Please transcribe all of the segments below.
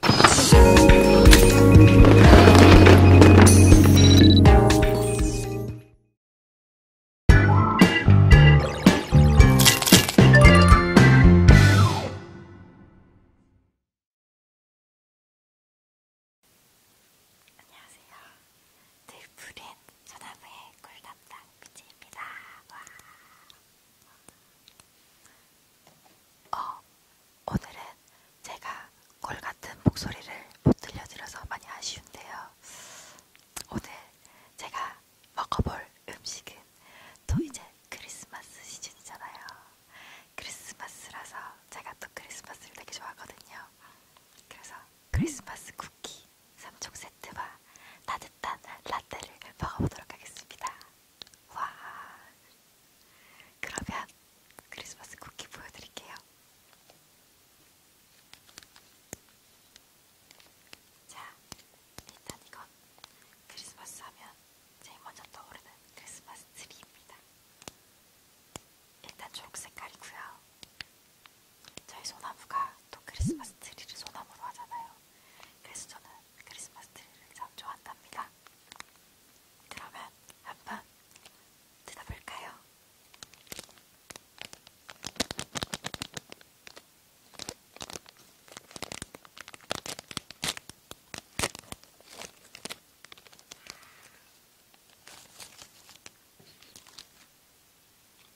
안녕하세요. 들푸린 소나무의 꿀담당 미지입니다. 와. 어, 오늘은 제가 콜 같은 목소리를 못 들려드려서 많이 아쉬운데요. 오늘 제가 먹어볼 음식은 또 이제 크리스마스 시즌이잖아요. 크리스마스라서 제가 또 크리스마스를 되게 좋아하거든요. 그래서 크리스마스 쿠키 3종 세트와 따뜻한 라떼를 먹어보도록 하겠습니다. 와, 그러면 크리스마스 쿠키 보여드릴게요. 자, 일단 이건 크리스마스 하면 제일 먼저 떠오르는 크리스마스 트리입니다. 일단 초록색깔이고요. 저희 소나무가 또 크리스마스 트리를 소나무로 하잖아요. 그래서 저는 크리스마스 트리를 참 좋아한답니다. 그러면 한번 뜯어볼까요?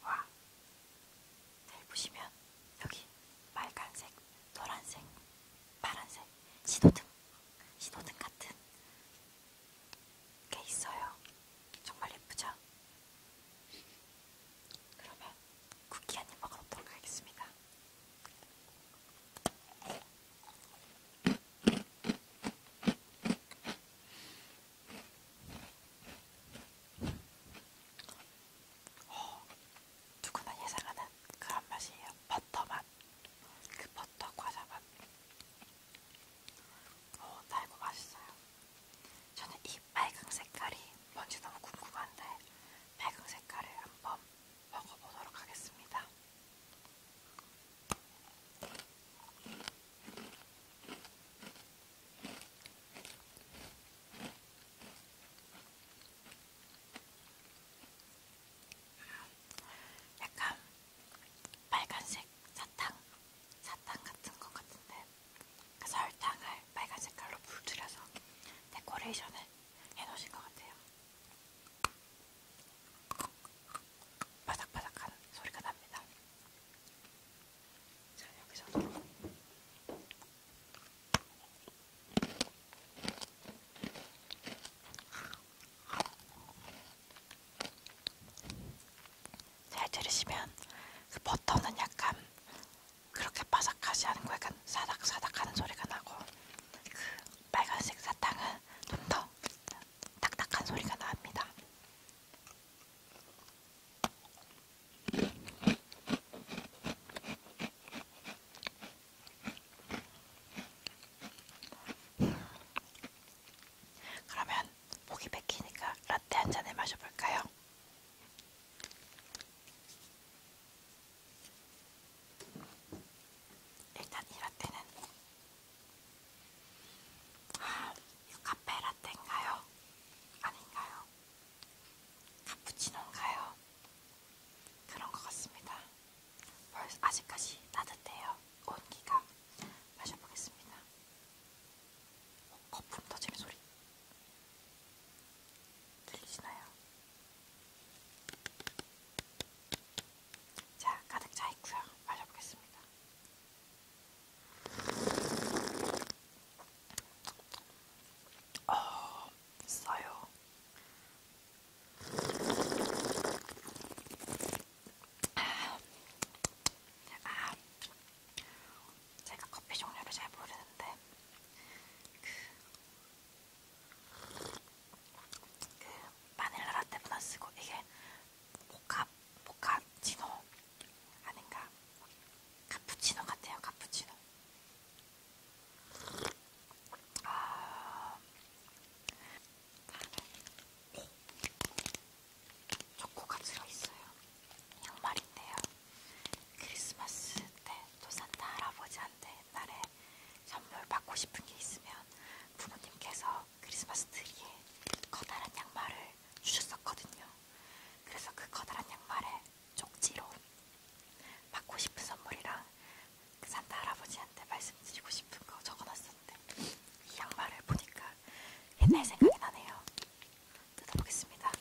와, 잘 보시면 여기 빨간색, 노란색, 파란색, 신호등 신호등 같은 게 있어요. 정말 예쁘죠? 그러면 쿠키 한 입 먹어보도록 하겠습니다. 어, 누구나 예상하는 그런 맛이에요. 버터 맛. 그 버터 과자 맛. 오, 어, 달고 맛있어요. 저는 이 빨강 색깔이 뭔지 너무 궁금한데 빨강 색깔을 한번 먹어보도록 하겠습니다. 약간 빨간색 사탕, 사탕 같은 것 같은데 그 설탕을 빨간 색깔로 불들여서 데코레이션을 해놓으신 것 같아요. 바삭바삭한 소리가 납니다. 자, 여기서 잘 들으시면 그 버터는 약간 그렇게 바삭하지 않고 약간 사닥사닥하는 소리가 나고 그 빨간색 사탕은 좀 더 딱딱한 소리가 납니다. 그러면 목이 맥히니까 라떼 한 잔을 마셔볼까요? 일단 이 라떼는 아, 이거 카페 라떼인가요? 아닌가요? 카푸치노인가요? 그런 것 같습니다. 벌써 아직까지 따뜻해요. 온기가 마셔보겠습니다. 어, 거품 터지는 소리 들리시나요? 자, 가득 차 있고요. 마셔보겠습니다. 어, 써요. 제가 아, 제가 커피 종류를 잘 모르는데 그, 그 마닐라 라떼보다 쓰고 이게 모카 모카치노 아닌가 카푸치노 같아요 카푸치노 아, 초코가 들어있어요. 정말인데요. 크리스마스 때 또 산타 할아버지한테 옛날에 선물 받고 싶은 게 있으면 부모님께서 크리스마스 트리에 커다란 양말을 주셨었거든요. 그래서 그 커다란 양말에 쪽지로 받고 싶은 선물이랑 그 산타 할아버지한테 말씀드리고 싶은 거 적어놨었는데 이 양말을 보니까 옛날 생각이 나네요. 뜯어보겠습니다.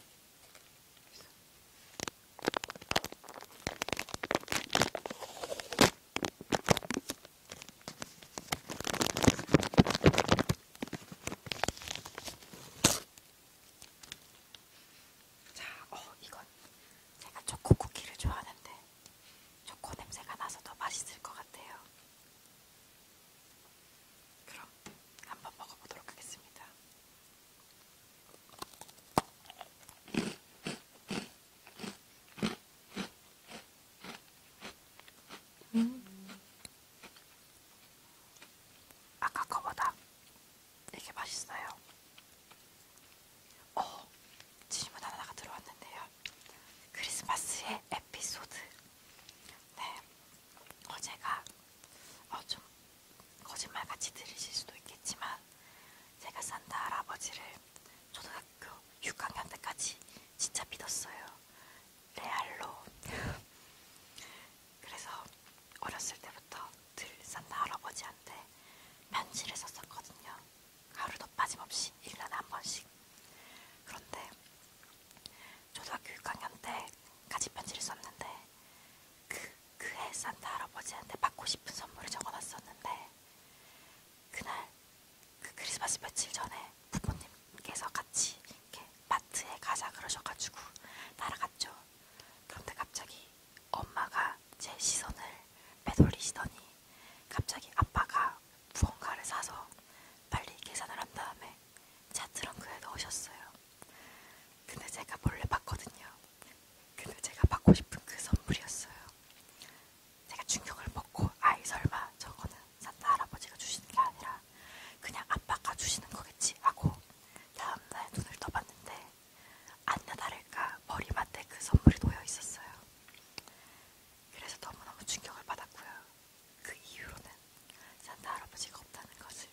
자, 어, 이건 제가 초코 쿠키를 좋아하는데 초코 냄새가 나서 더 맛있을 것 같아요. 그럼 한번 먹어보도록 하겠습니다. 음. 아까 거보다 이게 맛있어요. 어, 질문 하나가 들어왔는데요. 크리스마스의 에피소드. 네, 어제가 어, 좀 거짓말같이 들으실 수도 있겠지만 제가 산타 할아버지를 초등학교 6학년 때까지 진짜 믿었어요. 레알로. 그래서 어렸을 때부터 늘 산타 할아버지한테 편지를 썼었거든요. 하루도 빠짐없이 1년에 한 번씩. 그런데 초등학교 6학년 때 같이 편지를 썼는데 그, 그해 산타 할아버지한테 받고 싶은 선물을 적어놨었는데 그날 그 크리스마스 며칠 전에 부모님께서 같이 이렇게 마트에 가자 그러셔가지고 따라갔죠. 그런데 갑자기 엄마가 제 시선을 빼돌리시더니 갑자기 아빠가 무언가를 사서 빨리 계산을 한 다음에 차 트렁크에 넣으셨어요. 근데 제가 몰래 봤거든요. 근데 제가 받고 싶은 그 선물이었어요. 제가 충격을 먹고 아이 설마 저거는 산타 할아버지가 주시는 게 아니라 그냥 아빠가 주시는 거겠지 하고 다음날 눈을 떠봤는데 안나 다를까 머리맡에 그 선물이 놓여 있었어요. 그래서 너무너무 충격을 받았고요. 그 이후로는 산타 할아버지가 없다는 것을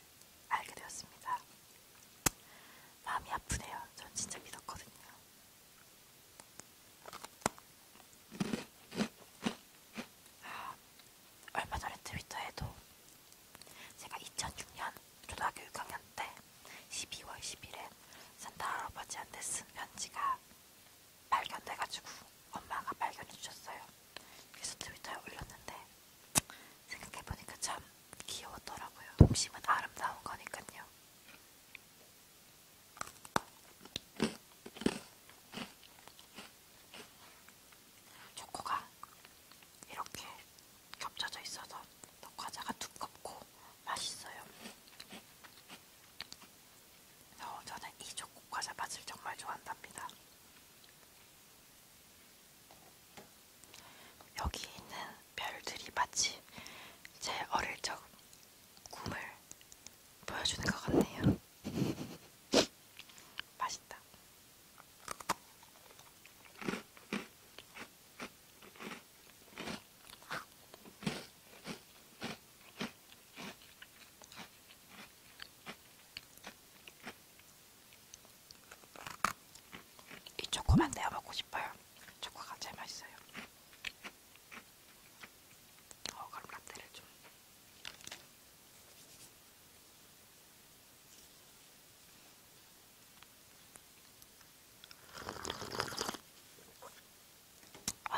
알게 되었습니다. 마음이 아프네요. 전 진짜 믿었거든요. 아, 얼마 전에 트위터에도 제가 2006년 초등학교 6학년 때 12월 10일에 산타 할아버지한테 쓴 편지가 발견돼가지고 엄마가 발견해주셨어요. 그래서 트위터에 올렸는데 생각해보니까 참 귀여웠더라고요. 동심은 아름다운 거니까요. 초코가 이렇게 겹쳐져 있어서 더 과자가 두껍고 맛있어요. 어, 저는 이 초코 과자 맛을 정말 좋아한답니다. 여기 있는 별들이 마치 제 어릴 적 꿈을 보여주는 것 같네요. 맛있다. 이 초코만 내어 먹고 싶어요. 초코가 제일 맛있어요. 어, 그럼 라떼를 좀. 어,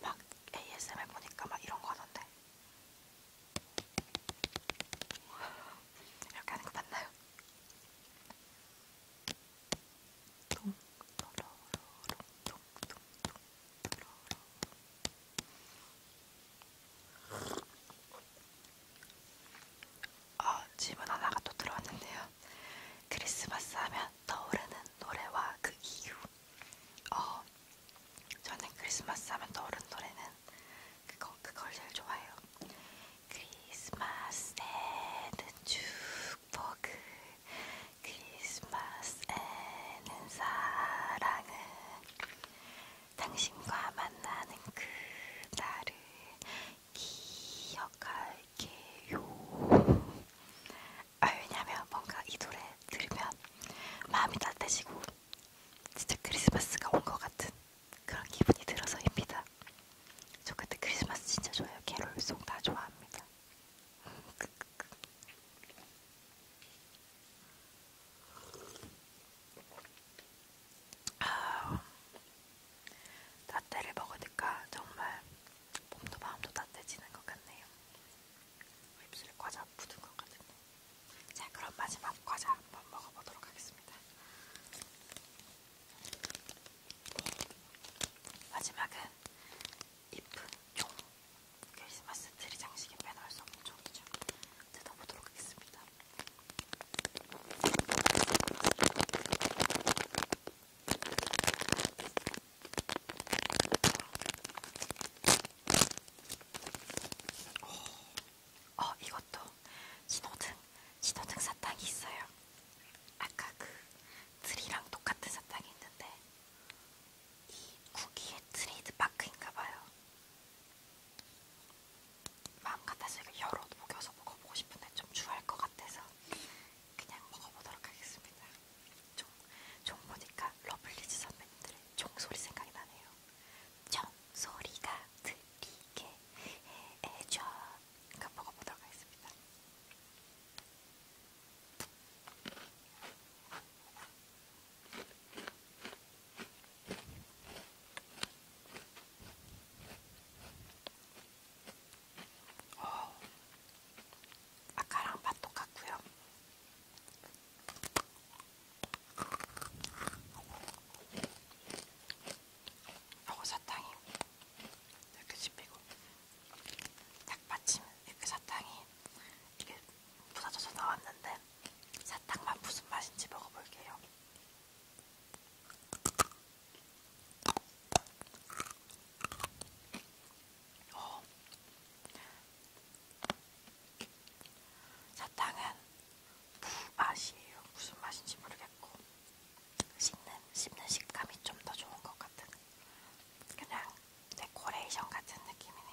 막 ASMR 보니까 막 이런 거 하던데. 이렇게 하는 거 맞나요? 동, 도로로롱, 동, 동, 동, 도로로롱. 아, 어, 질문 하나가 또 들어왔는데요. 크리스마스 하면 떠오르는 노래와 그 이유. 어, 저는 크리스마스 하면 떠오르는 노래는 그거, 그걸 제일 좋아해요. 크리스마스에는 축복을, 크리스마스에는 사랑을, 당신과 만나는 그 날을 기억할게요. 아, 왜냐면 뭔가 이 노래 들으면 마음이 따뜻해지고 진짜 크리스마스가 온 것 같은 그런 기분이 들어서입니다. 저 그때 크리스마스 진짜 좋아요. 캐롤송 다 좋아합니다. 아, 라떼를 먹으니까 정말 몸도 마음도 따뜻해지는 것 같네요. 입술에 과자 묻은 것 같은데. 자, 그럼 마지막 과자 한번 먹어보도록 하겠습니다. 마지막은 이쁜 종. 크리스마스 트리 장식에 빼놓을 수 없는 종이죠. 뜯어보도록 하겠습니다. 어, 어, 이것도 신호등, 신호등 사탕이 있어요. 아까 그 트리랑 똑같은 사탕이 있는데 이 쿠키의 트레이드 마크인가봐요. 마음 같아서 이거 여러 먹여서 먹어보고 싶은데 좀 추할 것 같아서 그냥 먹어보도록 하겠습니다. 종, 종 보니까 러블리즈 선배님들의 종소리 생각이 나네요. 종소리가 들리게 해줘. 그러니까 먹어보도록 하겠습니다. 어, 아까랑 맛 똑같고요. 요거 사탕이 이렇게 씹히고 닭받침 이렇게 사탕이 이렇게 부서져서 나왔는데 사탕만 무슨 맛인지 먹어볼게요. 어. 사탕은 무맛이에요. 무슨 맛인지 모르겠고 씹는, 씹는 식감이 좀 더 좋은 것 같은 그냥 데코레이션 같은 느낌이네요.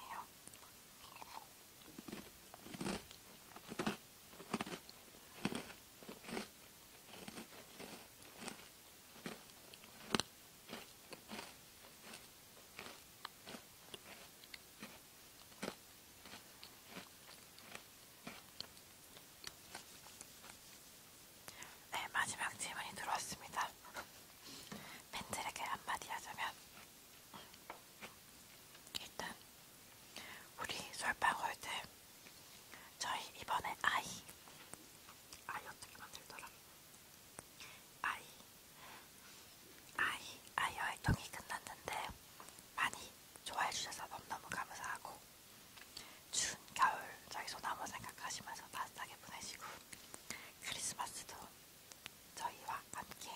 네, 마지막 질문이 들어왔습니다. 팬들에게 한마디 하자면 일단 우리 솔방울들 저희 이번에 아이 아이 어떻게 만들더라? 아이, 아이, 아이 활동이 끝났는데 많이 좋아해 주셔서 너무너무 감사하고 추운 겨울 저희 소나무 생각하시면서 따뜻하게 보내시고 크리스마스도 저희와 함께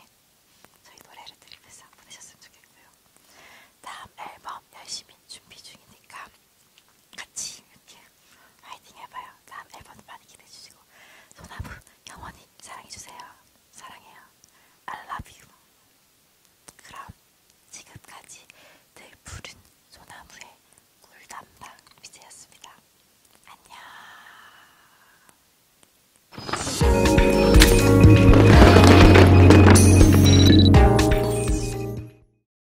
저희 노래를 들으면서 보내셨으면 좋겠고요. 다음 앨범 열심히 준비 중이니까 같이 이렇게 화이팅 해봐요. 다음 앨범도 많이 기대해주시고 소나무 영원히 사랑해주세요. 사랑해요. I love you. 그럼 지금까지 늘 푸른 소나무의 꿀담당 미제였습니다. 안녕.